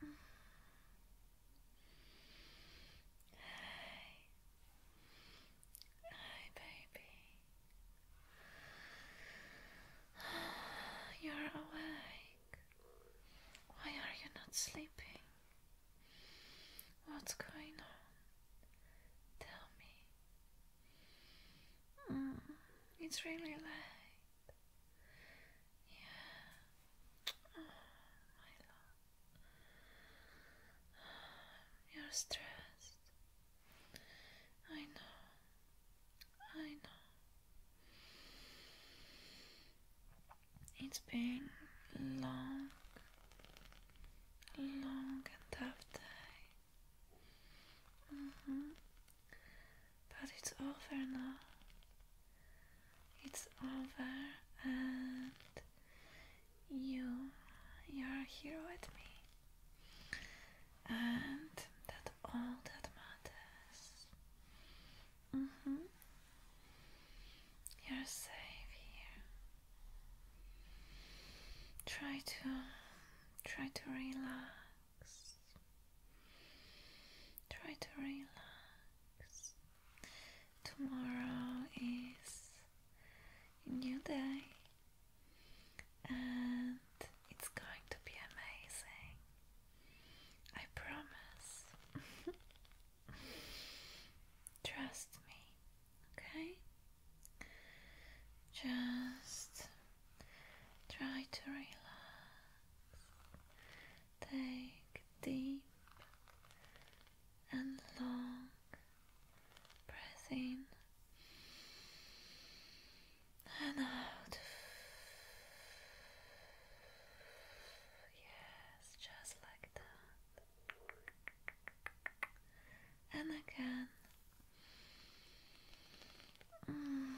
Hi. Hi, baby. You're awake. Why are you not sleeping? What's going on? Tell me. Ah, it's really late. Yeah. my ah, love. Ah, you're stressed. I know. I know. It's been long, long and tough day. Mm-hmm. But it's over now. It's over, and you, you're here with me, and that's all that matters. Mm -hmm. You're safe here. Try to Try to relax. Try to relax. Tomorrow is a new day and it's going to be amazing. I promise. Trust me, okay? Just Try to relax. Take deep and long breath in and out. Yes, just like that and again. Mm.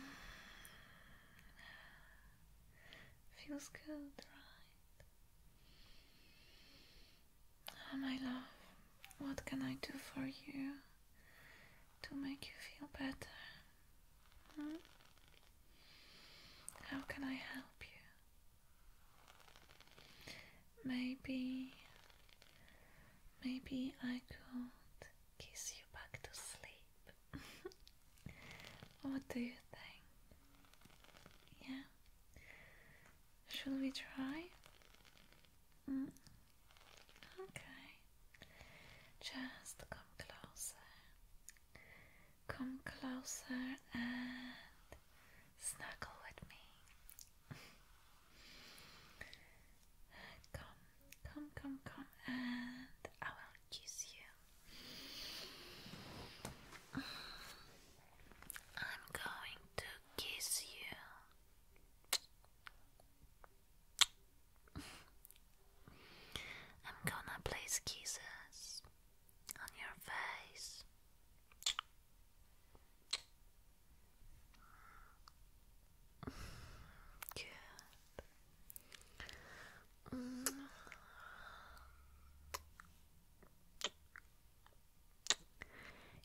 Feels good, right? Oh, my love, what can I do for you to make you feel better? Hmm? How can I help you? Maybe, maybe I could kiss you back to sleep. what do you think? Yeah? Should we try? Mm. Okay. Just come closer. Come closer and snuggle with me. Come, come, come, come, and I will kiss you. I'm going to kiss you. I'm gonna place kisses on your face. Good. Mm.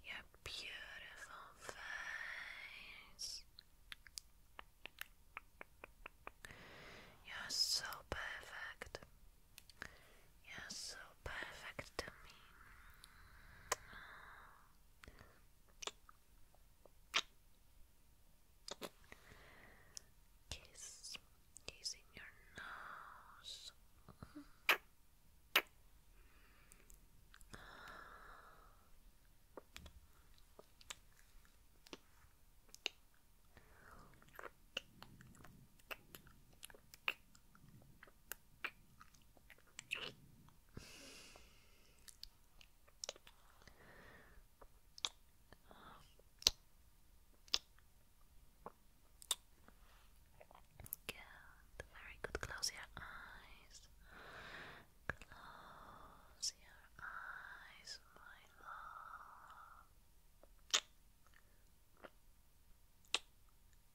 Your beautiful face. You're so perfect. You're so perfect to me. Kiss, kissing your nose. Good, very good. Close your eyes. Close your eyes, my love.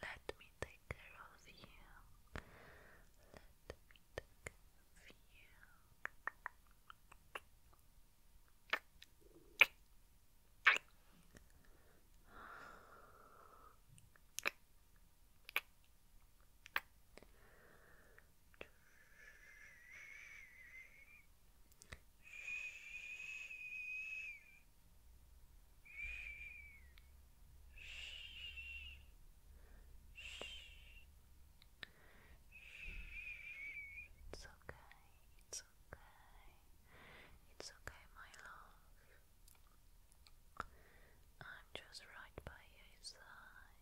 Let me take care of you. Let me take care of you. It's okay, it's okay, it's okay, my love. I'm just right by your side.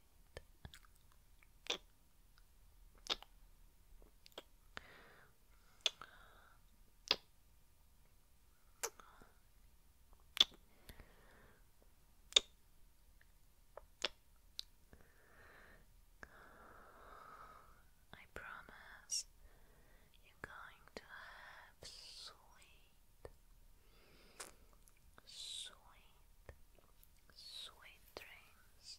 I promise you're going to have sweet, sweet, sweet dreams.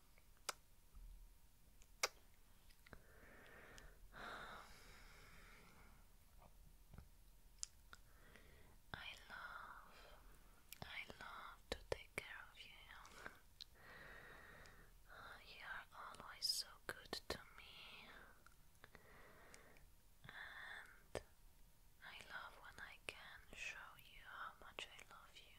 I love, I love to take care of you. you are always so good to me, and I love when I can show you how much I love you.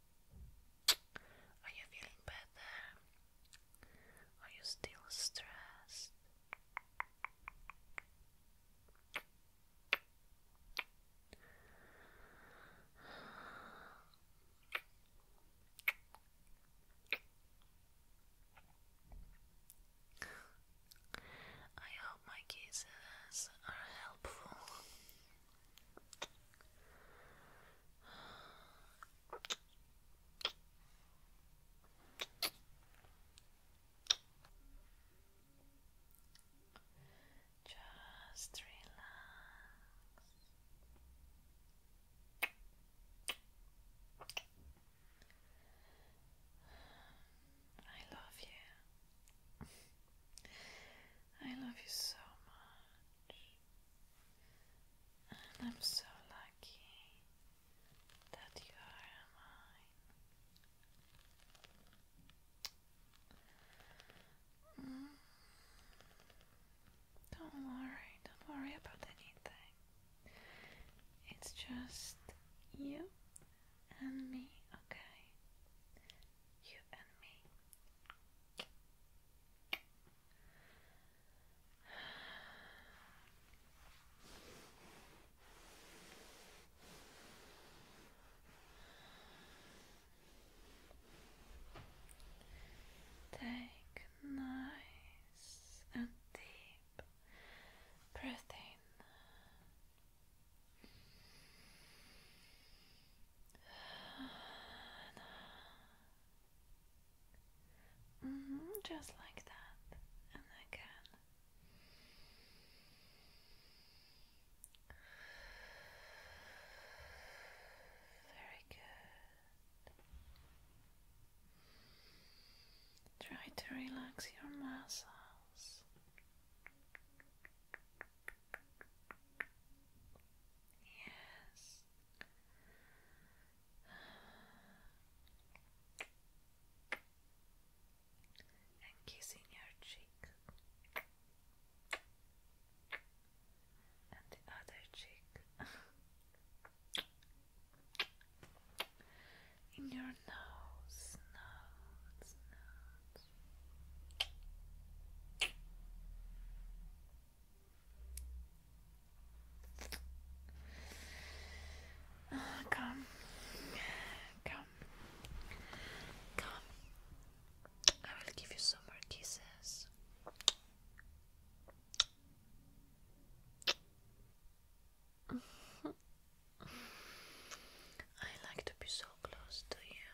Are you feeling better? Are you still stressed? I hope my kisses are helpful. Just relax. I love you. I love you so much, and I'm so lucky that you are mine. Mm. Don't worry, don't worry about anything. It's just you and me, okay? You and me. Take nice and deep breath in Mm-hmm, just like that, and again. Very good. Try to relax your muscles. Yes. And kissing your cheek and the other cheek in your nose, nose, nose, come, come, come. I will give you some more kisses. I like to be so close to you.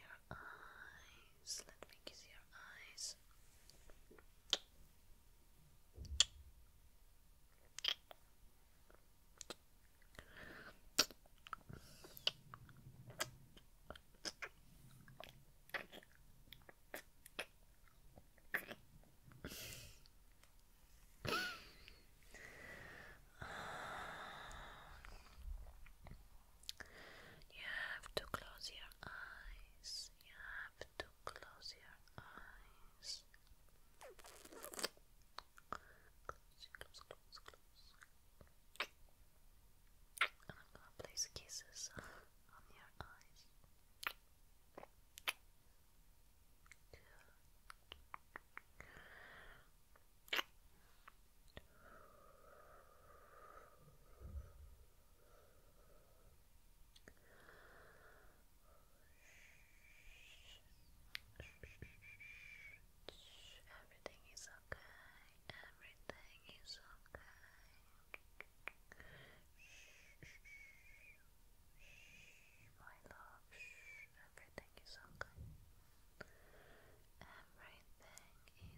Your eyes, let me kiss your eyes. You have to close your eyes. You have to close your eyes. Close, close, close, close. And I'm gonna place kisses on your eyes. Everything is okay. Everything is okay. My love, everything is okay. Everything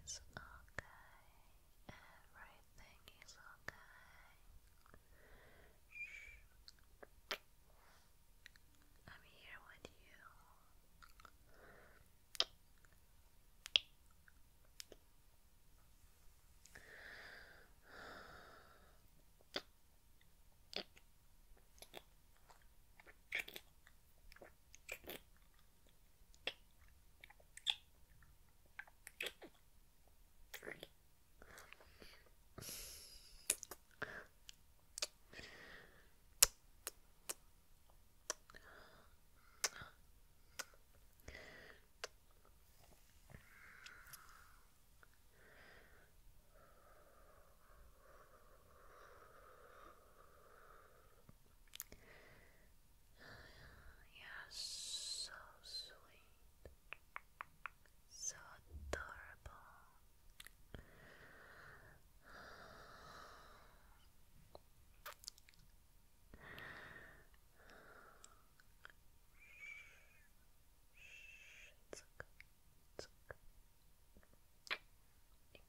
is okay. Everything everything okay. I'm here with you you so sweet. So adorable. It's okay.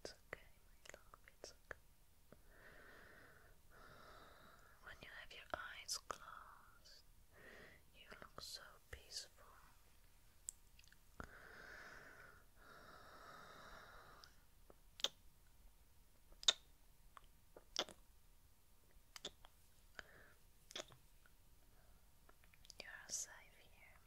It's okay. When you have your eyes closed, you look so peaceful. You are safe here.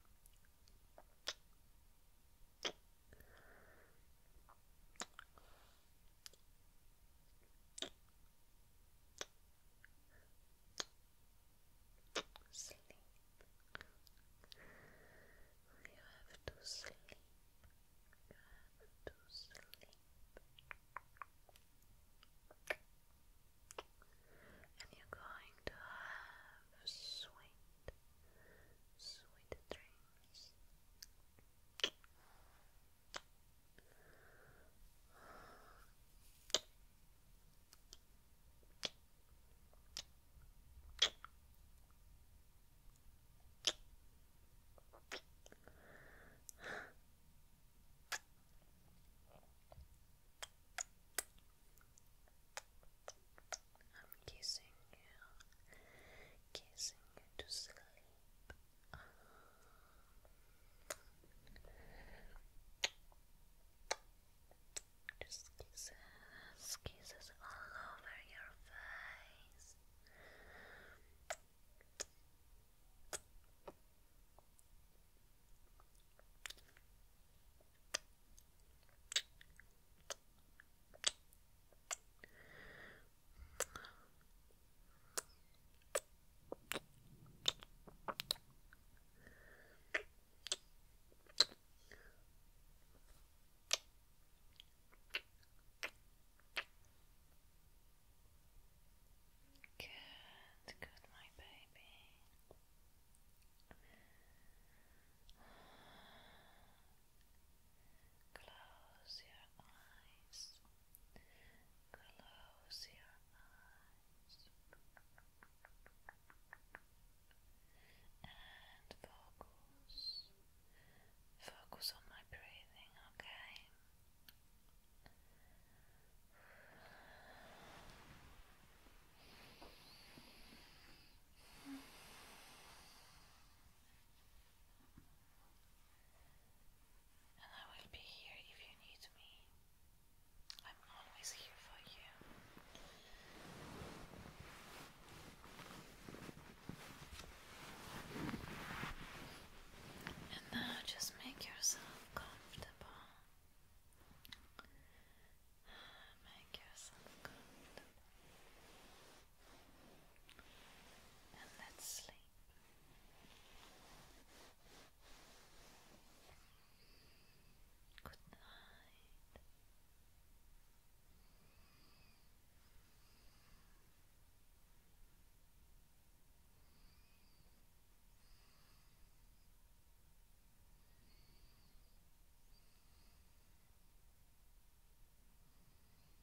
Sleep. You have to sleep. You have to sleep. And you're going to have sweet, sweet dreams. I'm kissing you, kissing you to sleep. Just kisses, kisses all over your face. Good, good, my baby. Close your eyes. Close your eyes. And focus. Focus on my breathing, okay? And I will be here if you need me. I'm always here for you. And now just make yourself comfortable. Make yourself comfortable and let's sleep. Good night.